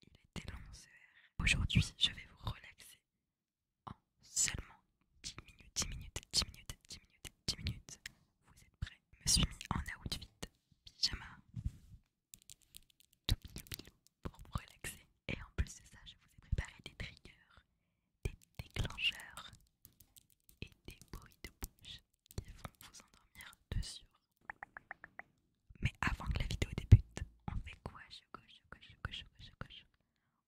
Il était long ce Aujourd'hui, je vais vous relaxer en seulement 10 minutes, 10 minutes, 10 minutes, 10 minutes, 10 minutes. Vous êtes prêts Je me suis mis en outfit pyjama tout pilou pour vous relaxer. Et en plus de ça, je vous ai préparé des triggers, des déclencheurs et des bruits de bouche qui vont vous endormir de mais avant que la vidéo débute, on fait quoi choco choco, choco, choco, choco.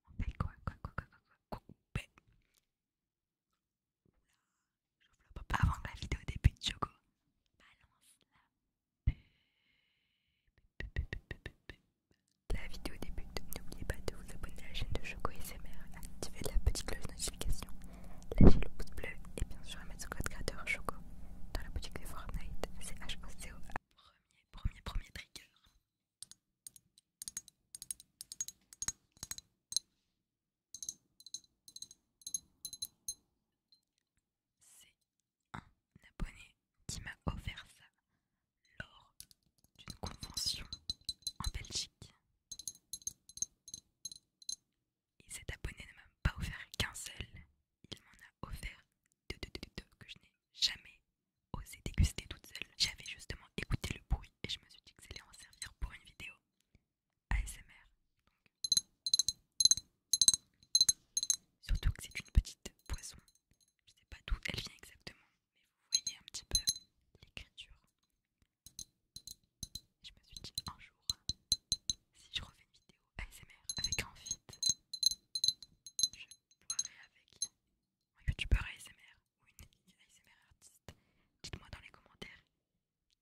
On fait quoi Quoi, quoi, quoi, quoi, quoi, pas Avant que la vidéo débute, Choco, balance la La vidéo débute, n'oubliez pas de vous abonner à la chaîne de Choco SMR, d'activer la petite cloche de notification Lâchez le pouce bleu et bien sûr à mettre son code créateur Choco dans la boutique de Fortnite. C'est h Premier, premier, premier trigger. C'est un abonné qui m'a offert ça lors d'une convention en Belgique. Et cet abonné ne m'a pas offert qu'un seul, il m'en a offert deux, que je n'ai jamais osé déguster toute seule. J'avais justement écouté le bruit et je me suis dit que allait en servir pour une vidéo ASMR. Surtout que c'est une petite poisson, je ne sais pas d'où elle vient exactement, mais vous voyez un petit peu l'écriture je me suis dit un jour, si je refais une vidéo ASMR avec un fit, je parlerai avec un youtubeur ASMR ou une ASMR artiste. Dites-moi dans les commentaires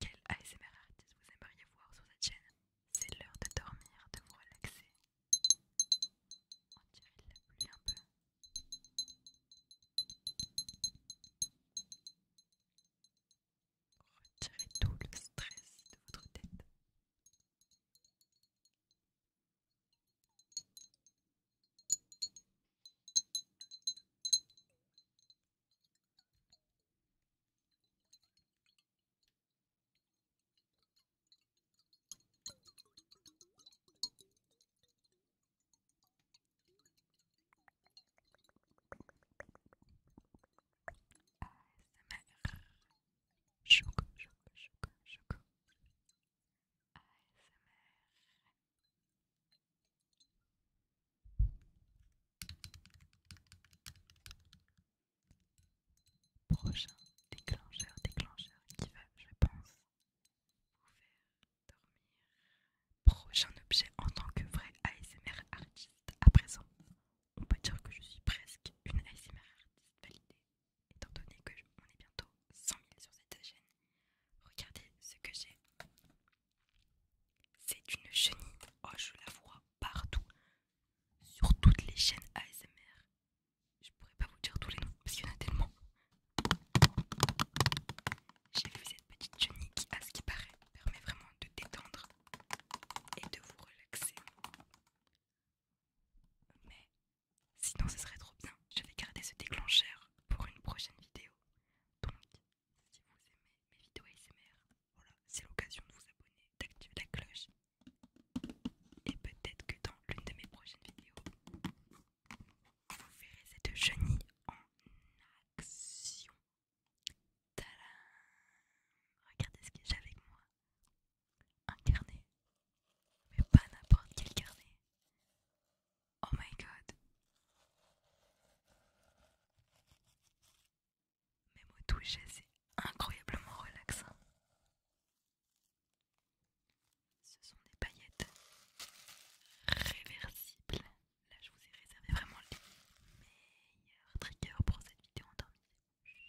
quel ASMR artiste vous aimeriez voir sur cette chaîne. C'est l'heure de dormir, de vous relaxer. On dirait la pluie un peu. Retirez tout le stress de votre tête. ASMR Choco, choco, choco, choco ASMR Prochain déclencheur, déclencheur qui va, je pense, vous faire dormir prochain objet en tant que vrai ASMR artiste à présent. On peut dire que je suis presque une ASMR artiste validée, étant donné que je, on est bientôt 100 000 sur cette chaîne. Regardez ce que j'ai. C'est une chenille. Oh, je la vois partout, sur toutes les chaînes ASMR. Je pourrais pas vous dire tous les noms parce qu'il y en a tellement. J'ai vu cette petite chenille qui, à ce qui paraît, permet vraiment de de détendre et de vous relaxer. Mais sinon ce serait trop bien, je vais garder ce déclencheur pour une prochaine vidéo. Donc si vous aimez mes vidéos ASMR, voilà, c'est l'occasion de vous abonner, d'activer la cloche. Et peut-être que dans l'une de mes prochaines vidéos, vous verrez cette chenille en action. Tadam Regardez ce que j'ai avec moi. Un carnet. Mais pas n'importe quel carnet. Oh my god. mes au toucher, c'est incroyablement relaxant. Ce sont des paillettes réversibles Là, je vous ai réservé vraiment les meilleurs triggers pour cette vidéo dormir.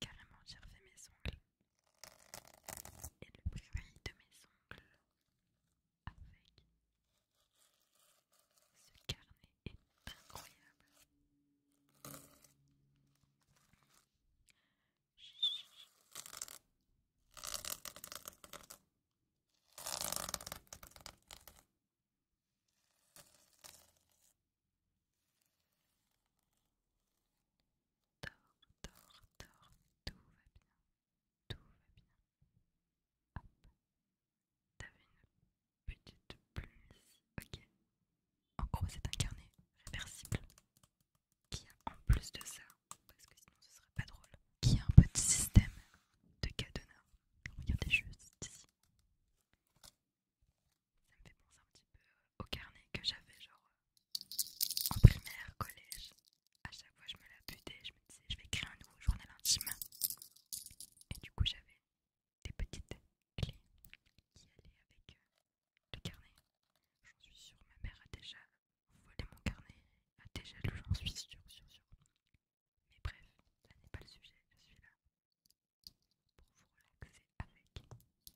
Carrément, j'ai refait mes ongles et le bruit de mes ongles avec ce carnet est incroyable dors, dors, dors, tout va bien, tout va bien. Hop, t'avais une petite plume ok. En gros, c'est un carnet réversible qui a en plus de ça, parce que sinon ce serait pas drôle, qui a un petit système de cadenas. Regardez juste ici. Ça me fait penser un petit peu au carnet que j'avais genre en primaire, collège, à chaque fois je me la butais, je me disais je vais créer un nouveau journal intime. Et du coup j'avais des petites clés qui allaient avec euh, le carnet. J'en suis sûre, ma mère a déjà volé mon carnet, a déjà lu, j'en suis sûre, sûre. Mais bref, ça n'est pas le sujet, je suis là pour vous relaxer avec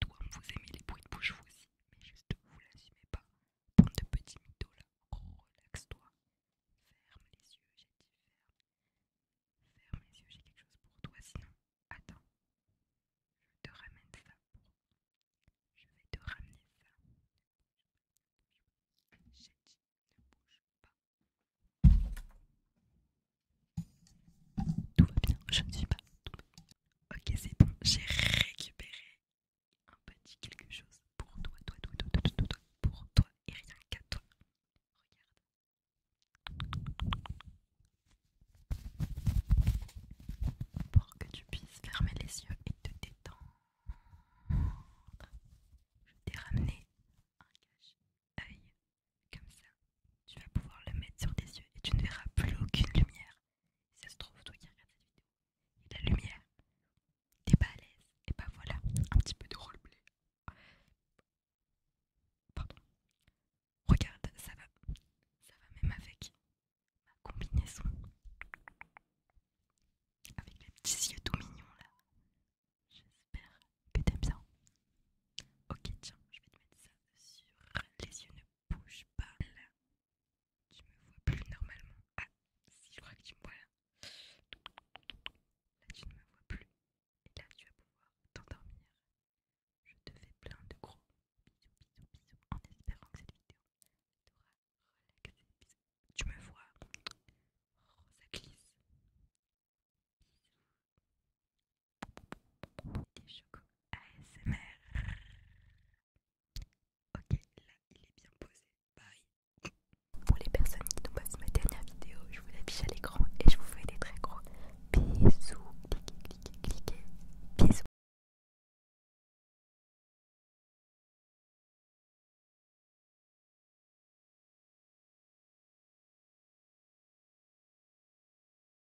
toi, vous aimez les bruits de bouche vous aussi, mais juste vous l'assumez pas. Bande de petits là, relaxe-toi. Ferme les yeux, j'ai dit ferme. Ferme les yeux, j'ai quelque chose pour toi sinon. Attends, je te ramène ça Je vais te ramener ça. J'ai dit ne bouge pas. Tout va bien, je ne suis pas Ok, c'est bon, j'ai récupéré un petit quelque chose pour toi, toi, toi, toi, toi, toi, pour toi et rien qu'à toi. Regarde. Pour que tu puisses fermer les yeux et te détendre, je t'ai ramené un cache-œil comme ça. Tu vas pouvoir le mettre sur tes yeux et tu ne verras plus aucune lumière. Si ça se trouve, toi qui regardes cette vidéo, la lumière. T'es pas à l'aise. Et bah voilà, un petit peu de roleplay. Pardon. Regarde, ça va. Ça va même avec ma combinaison. Avec les petits yeux tout mignons là. J'espère que t'aimes ça. Ok, tiens, je vais te mettre ça sur les yeux bouge pas là. Tu me vois plus normalement. Ah, si je crois que tu me vois là. tu ne me vois plus. Et là tu vas pouvoir t'endormir. Je te fais plein de gros bisous, bisous, bisous. En espérant que cette vidéo t'aura Tu me vois. ça glisse. ASMR. Ok, là il est bien posé. Bye. Pour les personnes qui n'ont pas vu ma dernière vidéo, je vous l'affiche à l'écran et je vous fais des très gros bisous. Cliquez, cliquez, cliquez. Bisous.